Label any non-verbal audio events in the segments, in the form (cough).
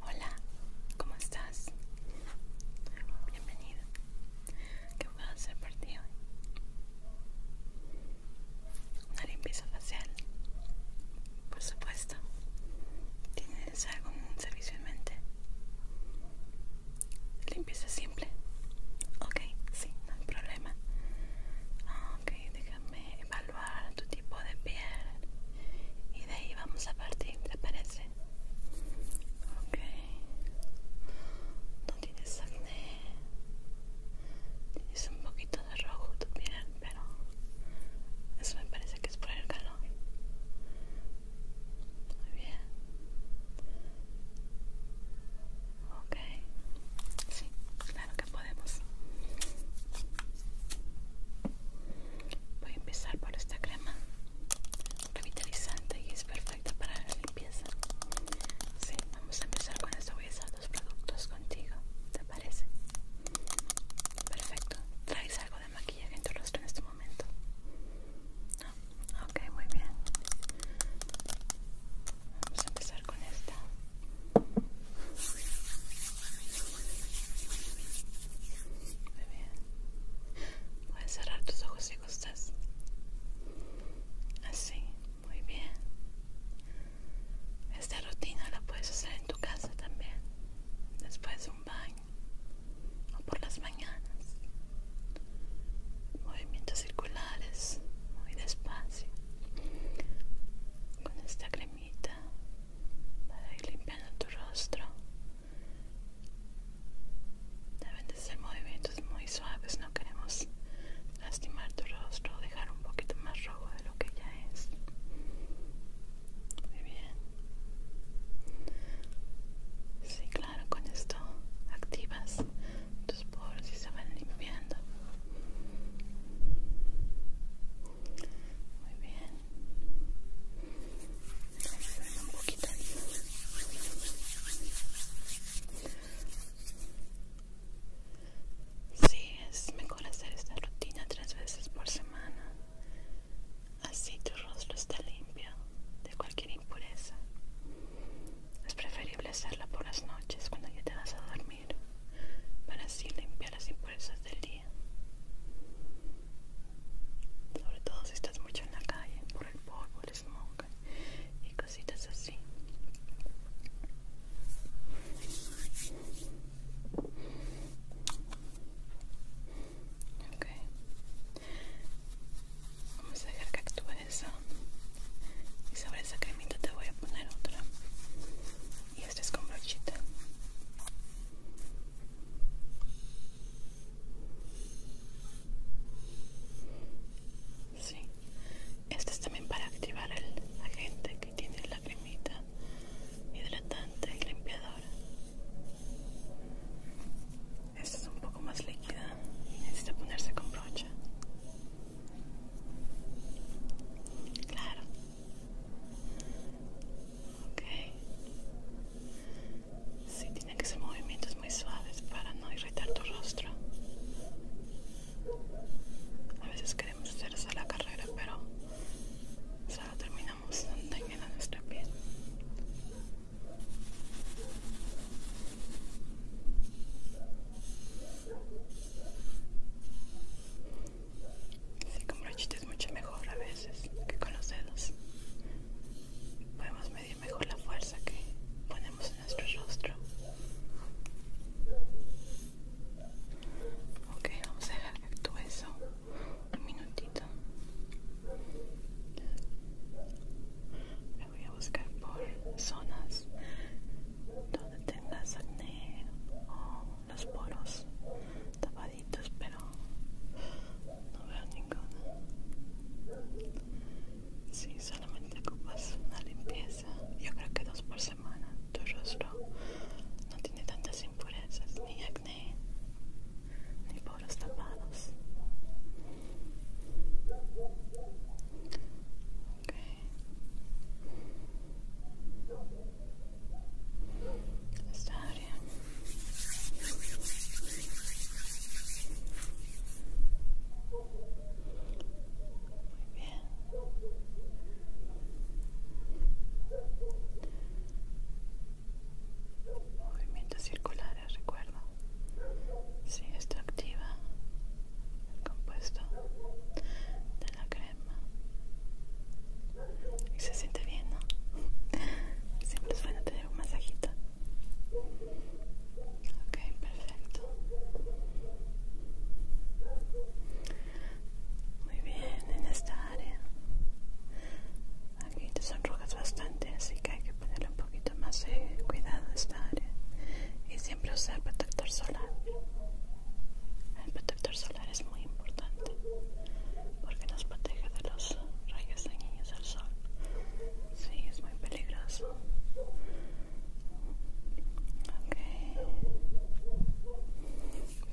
Hola, ¿cómo estás? Bienvenido. ¿Qué puedo hacer por ti hoy? Una limpieza facial. Por supuesto. ¿Tienes algún servicio en mente? Limpieza simple. Ok, sí, no hay problema. Ah, ok, déjame evaluar tu tipo de piel y de ahí vamos a partir, ¿te parece? Ok. No tienes acné. Tienes un poquito de rojo tu piel, pero eso me parece que es por el calor. Muy bien. Ok, sí, claro que podemos. Voy a empezar por esta crema revitalizante y es perfecta para la limpieza. Sí, vamos a empezar con esto. Voy a usar los productos contigo, ¿te parece? Perfecto. ¿Traes algo de maquillaje en tu rostro en este momento? No. Ok, muy bien. Vamos a empezar con esta. Muy bien. Puedes cerrar tus ojos si gustas. Así, muy bien. Esta rutina la puedes hacer en tu casa también. Después de un baño o por las mañanas. Movimientos circulares muy despacio con esta cremita para ir limpiando tu rostro deben de ser movimientos muy suaves no queremos lastimar tu rostro dejar un poquito más rojo de lo que ya es muy bien sí claro con esto activas tus poros si se van limpiando. Muy bien. Un poquito. Sí, es mejor hacer esta rutina tres veces por semana. Así tu rostro está limpio de cualquier impureza. Es preferible hacerla por las noches cuando ya te vas a dormir para así limpiar las impurezas del día. Sobre todo si estás mucho en la calle por el polvo, el smog y cositas así. Okay. Vamos a ver que actúe y sobre esa cremita te voy a poner otra y esta es con brochita sí es también para activar el agente que tiene la cremita hidratante y limpiadora esta es un poco más líquida y necesita ponerse con brocha Claro. Ok. Sí, tiene que ser movimientos muy suaves para no irritar tu rostro. A veces queremos hacer la carrera, pero solo terminamos dañando nuestra piel. Sí, con brochita mucho mejor a veces que con los dedos. Podemos medir mejor la fuerza que ponemos en nuestro rostro. Ok, vamos a dejar que actúe eso un minutito. Me voy a buscar por zonas no tengas acné o los poros tapaditos, pero no veo ninguno. Si solamente ocupas una limpieza, yo creo que dos por semana, tu rostro no tiene tantas impurezas, ni acné, ni poros tapados está muy bien movimientos circulares recuerdo sí, está activa compuesto de la crema y se siente bien, ¿no? (laughs) Siempre es bueno tener un masajito. Ok, perfecto. Muy bien, en esta área. Aquí te sonrojas bastante, así que hay que ponerle un poquito más de cuidado a esta área. Y si siempre protector solar. El protector solar es muy importante porque nos protege de los rayos dañinos del sol. Sí, es muy peligroso. Ok.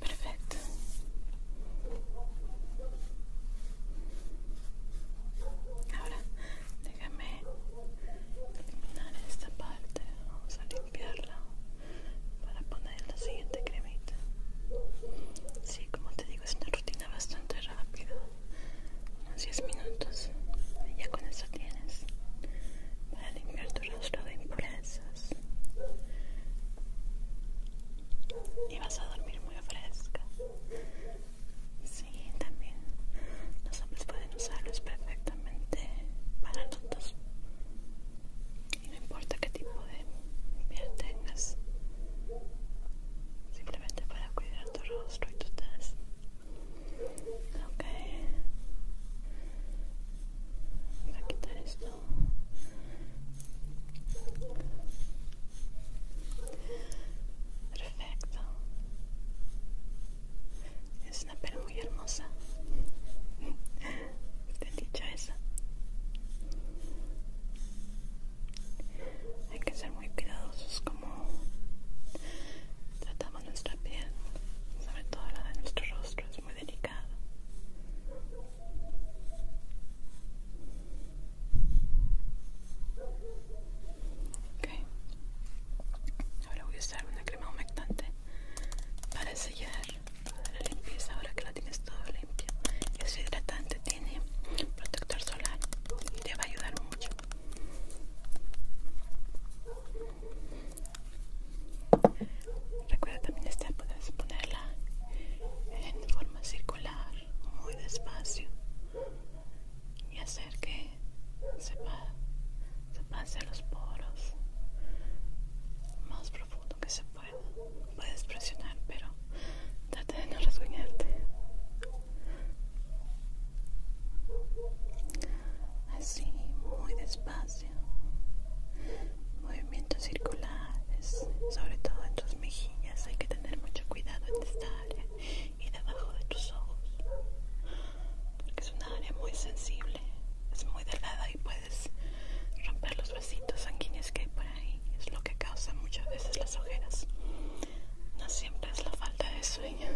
Perfecto. Ahora, déjame terminar esta parte vamos a limpiarla para poner la siguiente cremita sí como te digo es una rutina bastante rápida unos 10 minutos y ya con eso tienes para limpiar tu rostro de impurezas y vas a dormir muy fresca sí también los hombres pueden usarlo es perfecto para todos y no importa qué tipo de piel tengas simplemente para cuidar tu rostro y tu tez ok voy a quitar esto perfecto es una piel muy hermosa. (laughs) ¿Te esa. Hay que ser muy cuidadosos como tratamos nuestra piel, sobre todo la de nuestro rostro, es muy delicado. Okay. Ahora voy a usar una crema humectante para sellar la limpieza ahora que la tienes todo limpio es hidratante tiene protector solar y te va a ayudar mucho recuerda también esta puedes ponerla en forma circular muy despacio y hacer que se, pase a los poros más profundo que se pueda. Puedes presionar, pero trata de no resguñarte Así, muy despacio. Movimientos circulares, sobre todo en tus mejillas. Hay que tener mucho cuidado en esta área y debajo de tus ojos, porque es una área muy sensible es muy delgada y puedes romper los vasitos sanguíneos que hay por ahí es lo que causa muchas veces las ojeras no siempre es la falta de sueño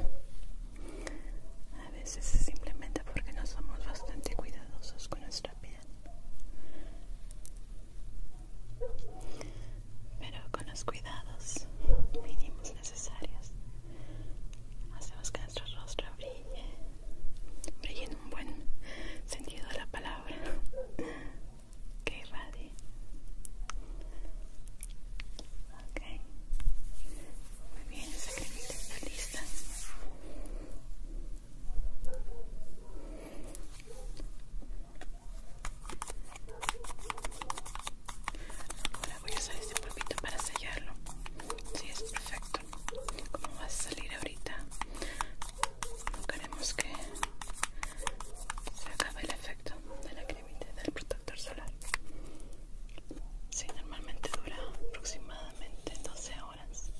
a veces es simplemente porque no somos bastante cuidadosos con nuestra piel pero con los cuidados mínimos necesarios hacemos nuestro rostro brille brille en un buen sentido de la palabra que irradie ok muy bien esa crema está lista Ahora voy a usar este polvito para sellarlo. Sí, es perfecto. como va a salir ahorita? No queremos que se acabe el efecto de la cremita del protector solar. Sí, normalmente dura aproximadamente 12 horas.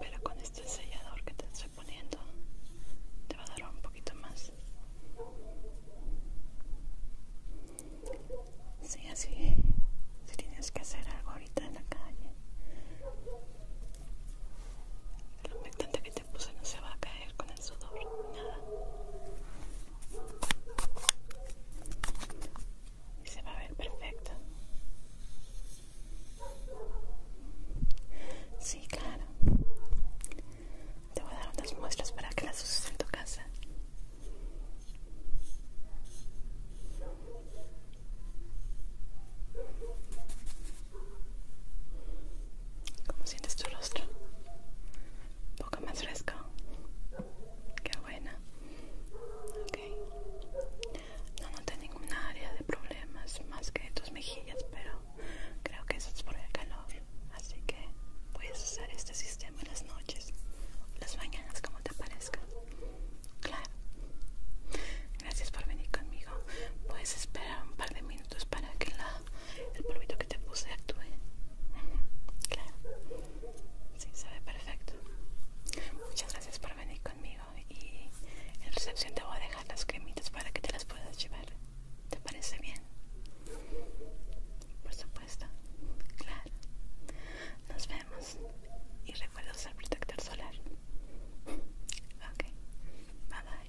Pero con este sellador que te estoy poniendo, te va a dar un poquito más. Sí, así. Si tienes que hacer algo ahorita en la calle, el humectante que te puse no se va a caer con el sudor, nada. Y se va a ver perfecto. Sí, claro. Te voy a dar unas muestras para que las uses en tu casa. ¿Cómo sientes tu rostro? Un poco más fresco. Qué buena. Ok. No noté ninguna área de problemas más que tus mejillas, pero creo que eso es por el calor. Así que puedes usar este sistema buenas noches, las mañanas como te parezca. Claro. Gracias por venir conmigo. Puedes esperar un par de minutos para que la, el polvito que te puse actúe. Claro. Sí, se ve perfecto. Muchas gracias por venir conmigo y en recepción te voy a dejar las cremitas para que te las puedas llevar. ¿Te parece bien? Por supuesto claro Nos vemos y recuerda usar protector solar. Ok, bye bye.